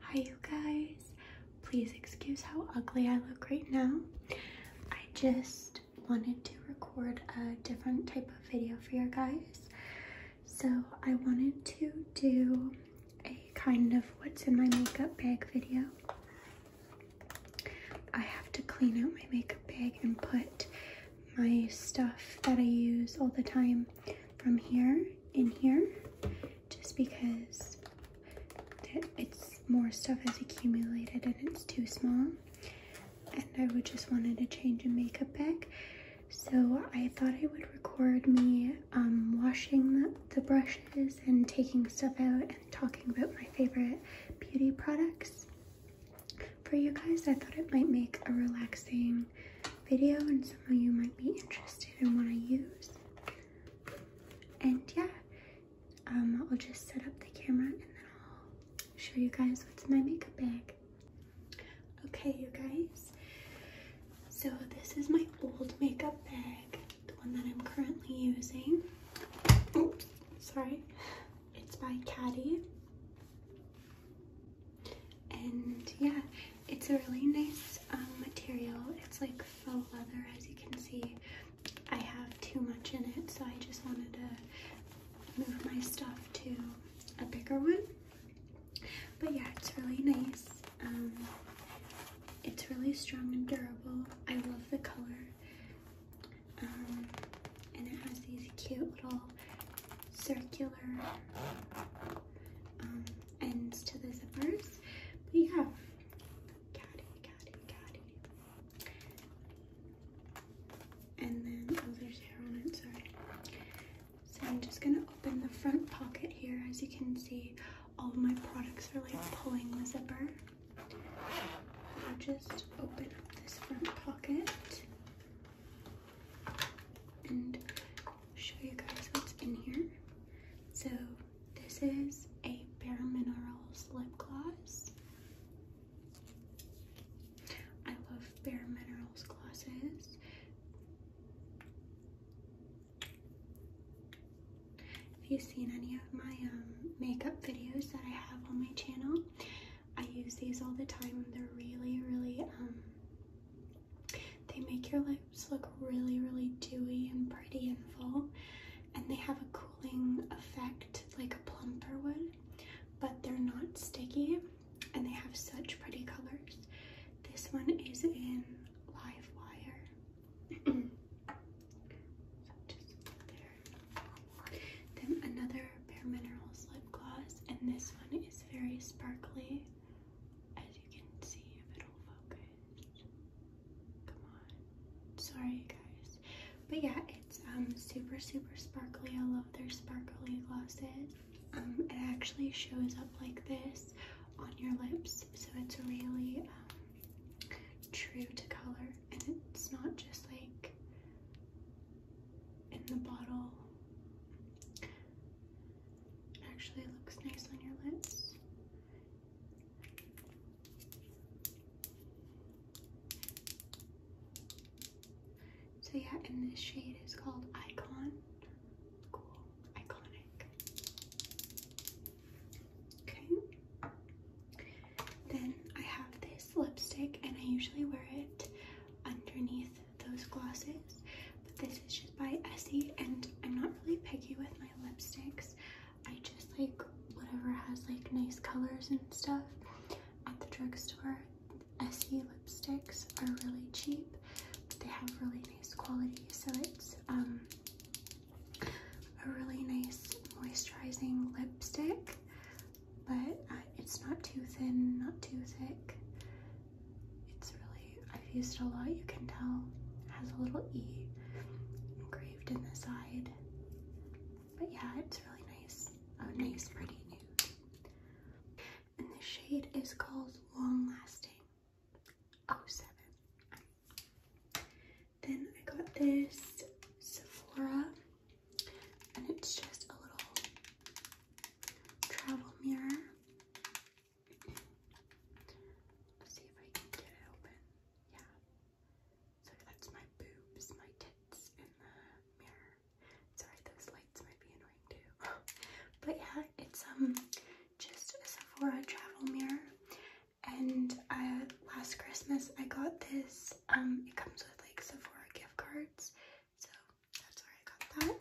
Hi you guys. Please excuse how ugly I look right now. I just wanted to record a different type of video for you guys. So I wanted to do a kind of what's in my makeup bag video. I have to clean out my makeup bag and put my stuff that I use all the time from here in here just because it's more stuff has accumulated and it's too small and I would just wanted to change a makeup bag so I thought I would record me um, washing the brushes and taking stuff out and talking about my favorite beauty products for you guys I thought it might make a relaxing video and some of you might be interested in what I use. And yeah, um, I'll just set up the camera and then I'll show you guys what's in my makeup bag. Okay, you guys. So this is my old makeup bag, the one that I'm currently using. sorry. It's by Caddy and yeah, it's a really nice um, material. It's like faux leather, as you can see. I have too much in it, so I just wanted to move my stuff to a bigger one. But yeah, it's really nice. Um, it's really strong and durable. I love the color. Um, and it has these cute little circular um, ends to the zippers. But yeah, And then, oh, there's hair on it, sorry. So I'm just gonna open the front pocket here. As you can see, all of my products are like pulling the zipper. I'll just open up this front pocket and show you guys what's in here. So this is a Bare Minerals lip gloss. I love Bare Minerals glosses. If you've seen any of my um, makeup videos that I have on my channel, I use these all the time. They're really, really um, they make your lips look really, really dewy and pretty and full, and they have a cooling effect like a plumper would, but they're not sticky and they have such pretty colors. This one is in live wire. Then another Bare mineral lip gloss, and this one is very sparkly as you can see if it'll focus. Come on. Sorry guys. But yeah, it's um super super sparkly. I love their sparkly glosses. Um it actually shows up like this on your lips, so it's really um, true to color and it's not just like in the bottle. Actually looks nice on your lips. So yeah, and this shade is called Icon. Cool. Iconic. Okay. Then I have this lipstick and I usually wear it underneath those glosses, but this is just by Essie, and I'm not really picky with my lipsticks. I just like whatever has like nice colors and stuff. At the drugstore, Essie lipsticks are really cheap, they have really nice quality, so it's um, a really nice moisturizing lipstick, but uh, it's not too thin, not too thick. It's really, I've used a lot, you can tell. It has a little E engraved in the side. But yeah, it's really nice. A nice, pretty new. And the shade is called Long Lasting Oh seven. Then I got this Sephora, and it's just a little travel mirror. Let's see if I can get it open. Yeah. So that's my boobs, my tits in the mirror. Sorry, those lights might be annoying too. but yeah, it's um just a Sephora travel mirror. And last Christmas I got this. Um, it comes with like Sephora gift cards. So that's where I got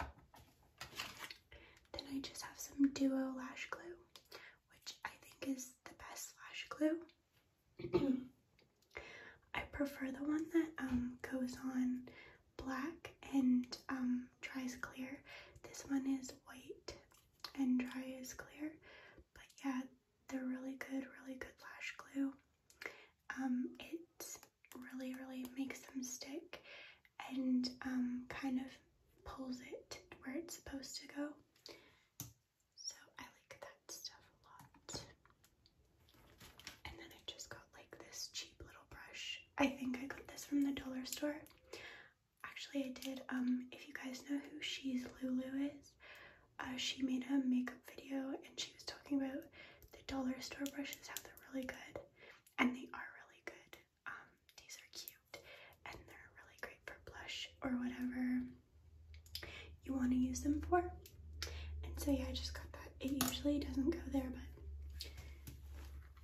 that. Then I just have some Duo Lash Glue, which I think is the best lash glue. I prefer the one that um, goes on black and um, dries clear. This one is white and dry is clear. But yeah, they're really good, really good lash glue. Um, it's really, really makes them stick and um, kind of pulls it where it's supposed to go. So I like that stuff a lot. And then I just got like this cheap little brush. I think I got this from the dollar store. Actually, I did. Um, if you guys know who She's Lulu is, uh, she made a makeup video and she was talking about the dollar store brushes have they really good. And they are really good. Um, these are cute and they're really great for blush or whatever you want to use them for. And so yeah, I just got that. It usually doesn't go there, but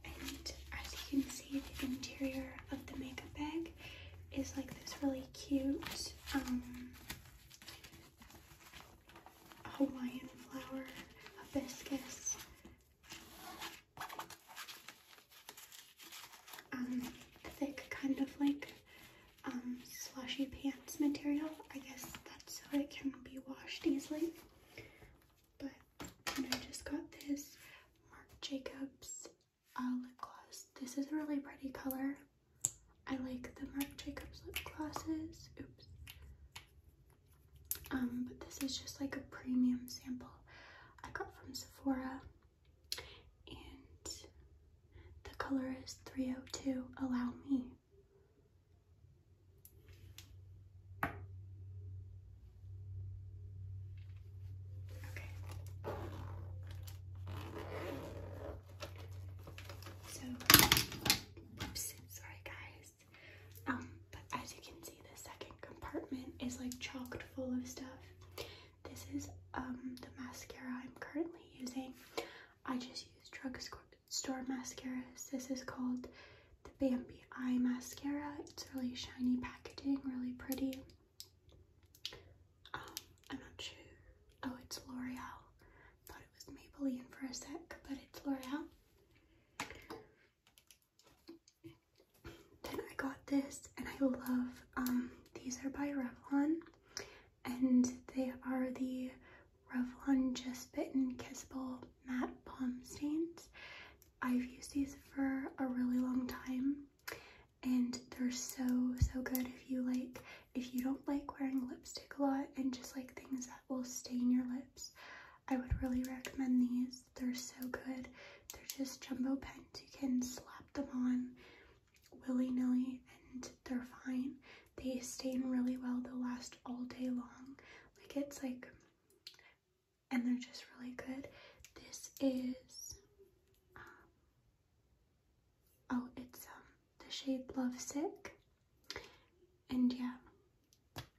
and as you can see, the interior of the makeup bag is like this really cute um, Hawaiian flower hibiscus. Um, thick kind of like um, slushy pants material. I guess that's so it can be washed easily. But I just got this Marc Jacobs uh, lip gloss. This is a really pretty color. I like the Marc Jacobs lip glosses. Oops. Um, but this is just like a premium sample I got from Sephora. And the color is 302 Allow Me. Okay. So, oops, sorry guys. Um, but as you can see, the second compartment is like chocked full of stuff. This is um, the mascara I'm currently using. I just use drugstore mascaras. This is called the Bambi Eye Mascara. It's really shiny packaging, really pretty. Um, I'm not sure. Oh, it's L'Oreal. Thought it was Maybelline for a sec, but it's L'Oreal. Then I got this, and I love, um, these are by Revlon, and they are the Revlon Just Bitten Kissable Matte Palm Stains. I've used these for a really long time, and they're so, so good if you like, if you don't like wearing lipstick a lot and just like things will stain your lips. I would really recommend these. They're so good. They're just jumbo pens. You can slap them on willy-nilly and they're fine. They stain really well. They'll last all day long. Like it's like, and they're just really good. This is, um, oh, it's um, the shade Love Sick. And yeah,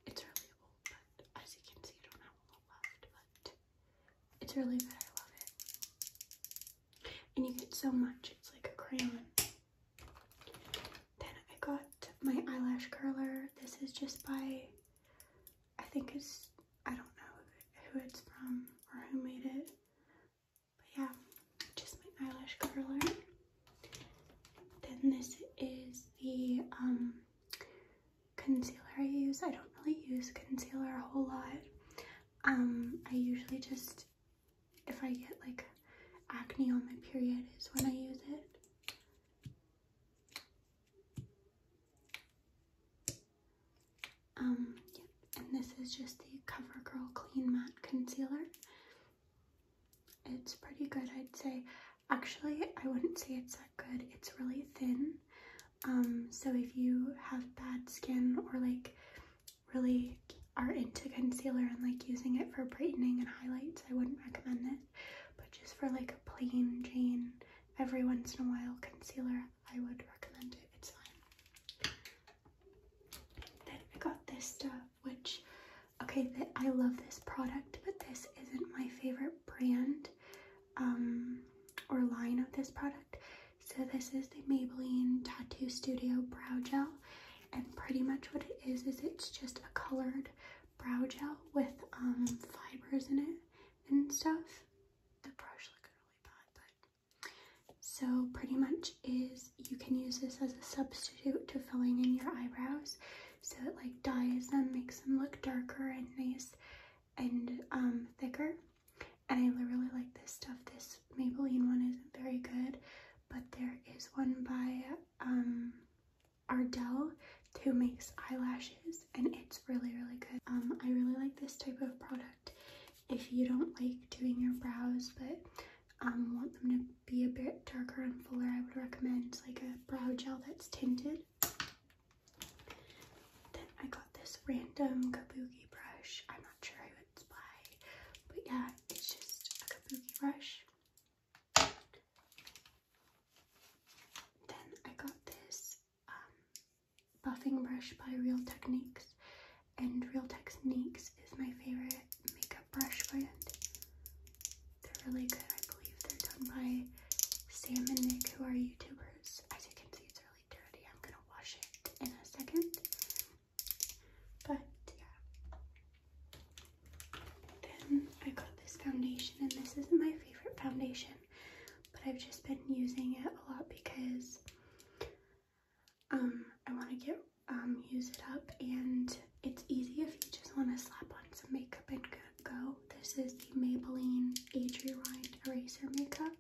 it's really but as you can see, I don't have a lot left, but it's really good. I love it. And you get so much. It's like a crayon. Then I got my eyelash curler. This is just by, I think it's, I don't know who it's from or who made it, but yeah, just my eyelash curler. Then this is the um, concealer I use. I don't really use concealer a whole lot. Um, I usually just, if I get like acne on my period is when I use it. Um, And this is just the CoverGirl Clean Matte Concealer. It's pretty good, I'd say. Actually, I wouldn't say it's that good. It's really thin. Um, so if you have bad skin or like really are into concealer and like using it for brightening and highlights, I wouldn't recommend it. But just for like a plain Jane, every once in a while concealer, I would recommend it. It's fine. Then I got this stuff which, okay, I love this product, but this isn't my favorite brand um, or line of this product. So this is the Maybelline Tattoo Studio Brow Gel. And pretty much what it is, is it's just a colored brow gel with um, fibers in it and stuff. The brush looked really bad, but so pretty much is you can use this as a substitute to filling in your eyebrows. So it like dyes them, makes them look darker and nice and um, thicker. And I really like this stuff. This Maybelline one isn't very good, but there is one by um, Ardell who makes eyelashes and it's really, really good. Um, I really like this type of product if you don't like doing your brows, but um, want them to be a bit darker and fuller, I would recommend like a brow gel that's tinted. Then I got this random kabuki brush. I'm not sure who it's by, but yeah, it's just a kabuki brush. Then I got this um, buffing brush by Real Techniques and Real Techniques is my favorite makeup brush brand. They're really good. I believe they're done by Sam and Nick, who are YouTubers. As you can see, it's really dirty. I'm gonna wash it in a second. But yeah. Then I got this foundation, and this isn't my favorite foundation, but I've just been using it a lot because um, I want to get um, use it up and it's easy if you just want to slap on some makeup and go. This is the Maybelline Age Rewind Eraser Makeup.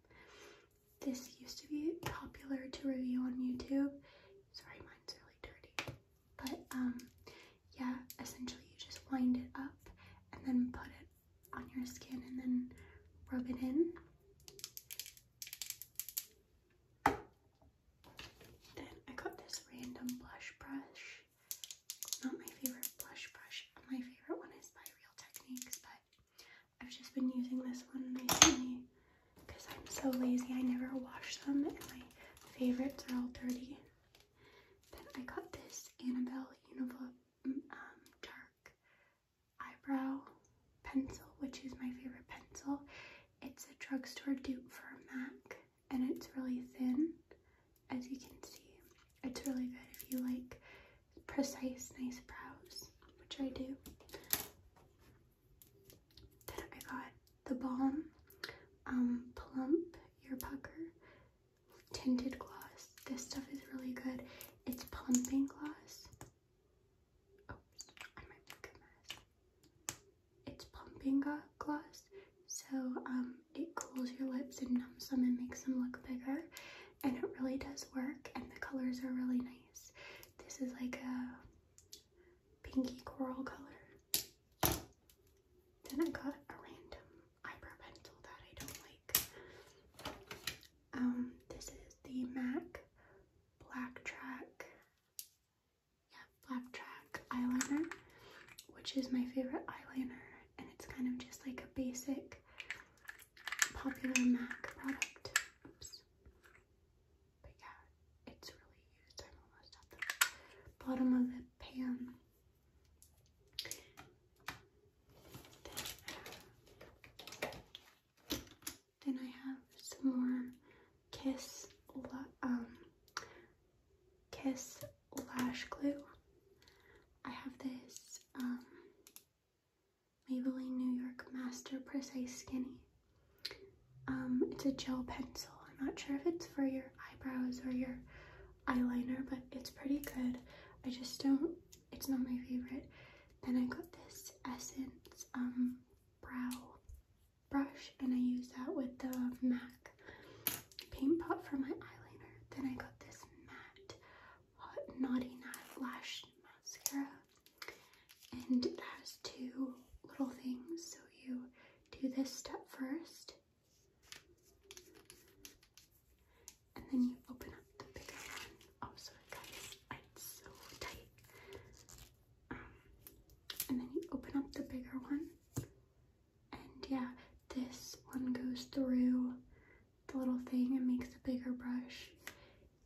This used to be popular to review on YouTube. Sorry, mine's really dirty. But um, yeah, essentially you just wind it up and then put it on your skin and then rub it in. Then I got this random blush brush. not my favorite blush brush. My favorite one is by Real Techniques, but I've just been using this one recently because I'm so lazy. I never wash them and my favorites are all dirty. Then I got this Annabelle Univ mm, um, Dark Eyebrow pencil, which is my favorite pencil. It's a drugstore dupe for a MAC and it's really thin, as you can see. It's really good if you like precise, nice brows, which I do. Then I got the Balm um, Plump your Pucker Tinted Gloss. This stuff is really good. It's plumping gloss Oh, it's pumping gloss, so um, it cools your lips and numbs them and makes them look bigger. And it really does work, and the colors are really nice. This is like a pinky coral color. Then I got a random eyebrow pencil that I don't like. Um, this is the MAC Black Track yeah, track eyeliner, which is my favorite eyeliner, and it's kind of just like a basic popular MAC product. But yeah, it's really used. I'm almost at the bottom of the pan. Uh, then I have some more Kiss um, Kiss lash glue. I have this um, Maybelline New York Master Precise Skinny. Um, it's a gel pencil. I'm not sure if it's for your eyebrows or your eyeliner, but it's pretty good. I just don't, it's not my favorite. Then I got this Essence um, brow brush and I use that with the MAC paint pot for my eyeliner. Then I got this matte naughty nut lash mascara and it has two little things so you do this step first and then you open up the bigger one. Oh sorry guys, it's so tight and then you open up the bigger one and yeah this one goes through the little thing and makes a bigger brush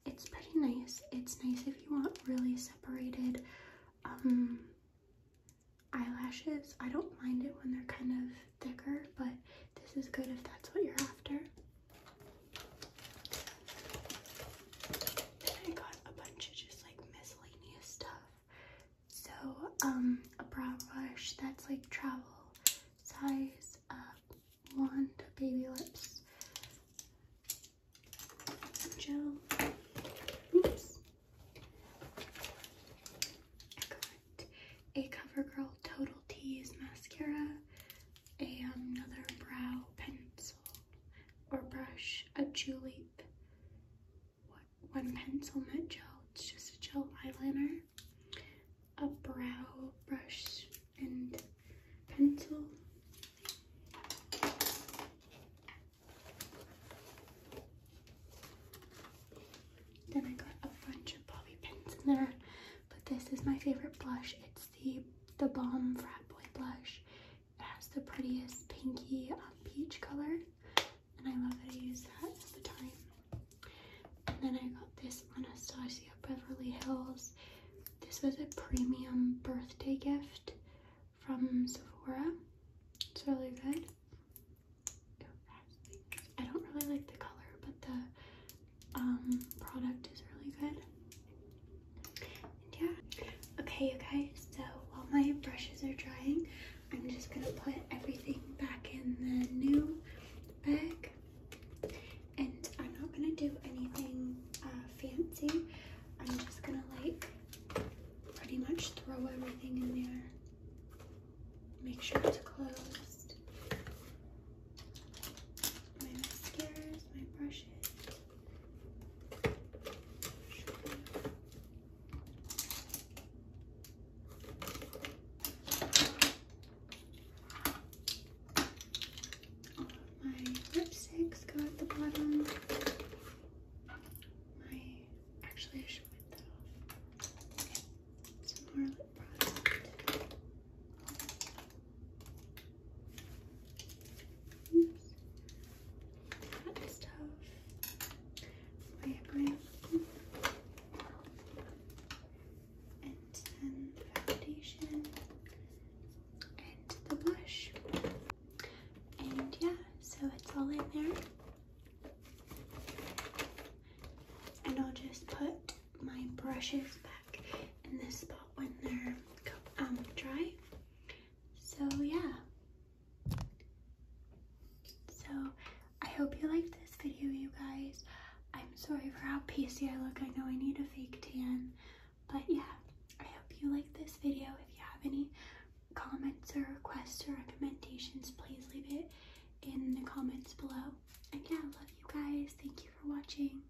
it's pretty nice it's nice if you want really separated um eyelashes i don't mind it when they're kind of thicker but this is good if that's what you're after then I got a bunch of just like miscellaneous stuff. So, um, a brow brush that's like travel size, uh, wand, baby lips, gel. Oops. I got a CoverGirl Total Tease mascara, a, another brow pencil, or brush, a julep, what, one pencil, not gel, it's just a gel eyeliner, a brow brush and pencil, then I got a bunch of bobby pins in there, but this is my favorite blush. It's the bomb Frat Boy blush. It has the prettiest pinky um, peach color, and I love that I used that at the time. And then I got this Anastasia Beverly Hills. This was a premium birthday gift from Sephora. It's really good. I don't really like the color, but the um, product is really good. And yeah. Okay, guys, so while my brushes are drying, I'm just gonna put everything back in the new bag. And I'm not gonna do anything uh, fancy. I'm just gonna like pretty much throw everything in there. Make sure it's closed. My mascaras, my brushes. My lipsticks go at the bottom. My actually I should put that off. Some more product. Yes. That stuff. Way And then the foundation and the blush. And yeah, so it's all in there. And I'll just put my brushes back in this spot when they're um, dry. So yeah. So I hope you liked this video, you guys. I'm sorry for how pasty I look. I know I need a fake tan. But yeah, I hope you liked this video. If you have any comments or requests or recommendations, please leave it in the comments below. And yeah, love you guys. Thank you for watching.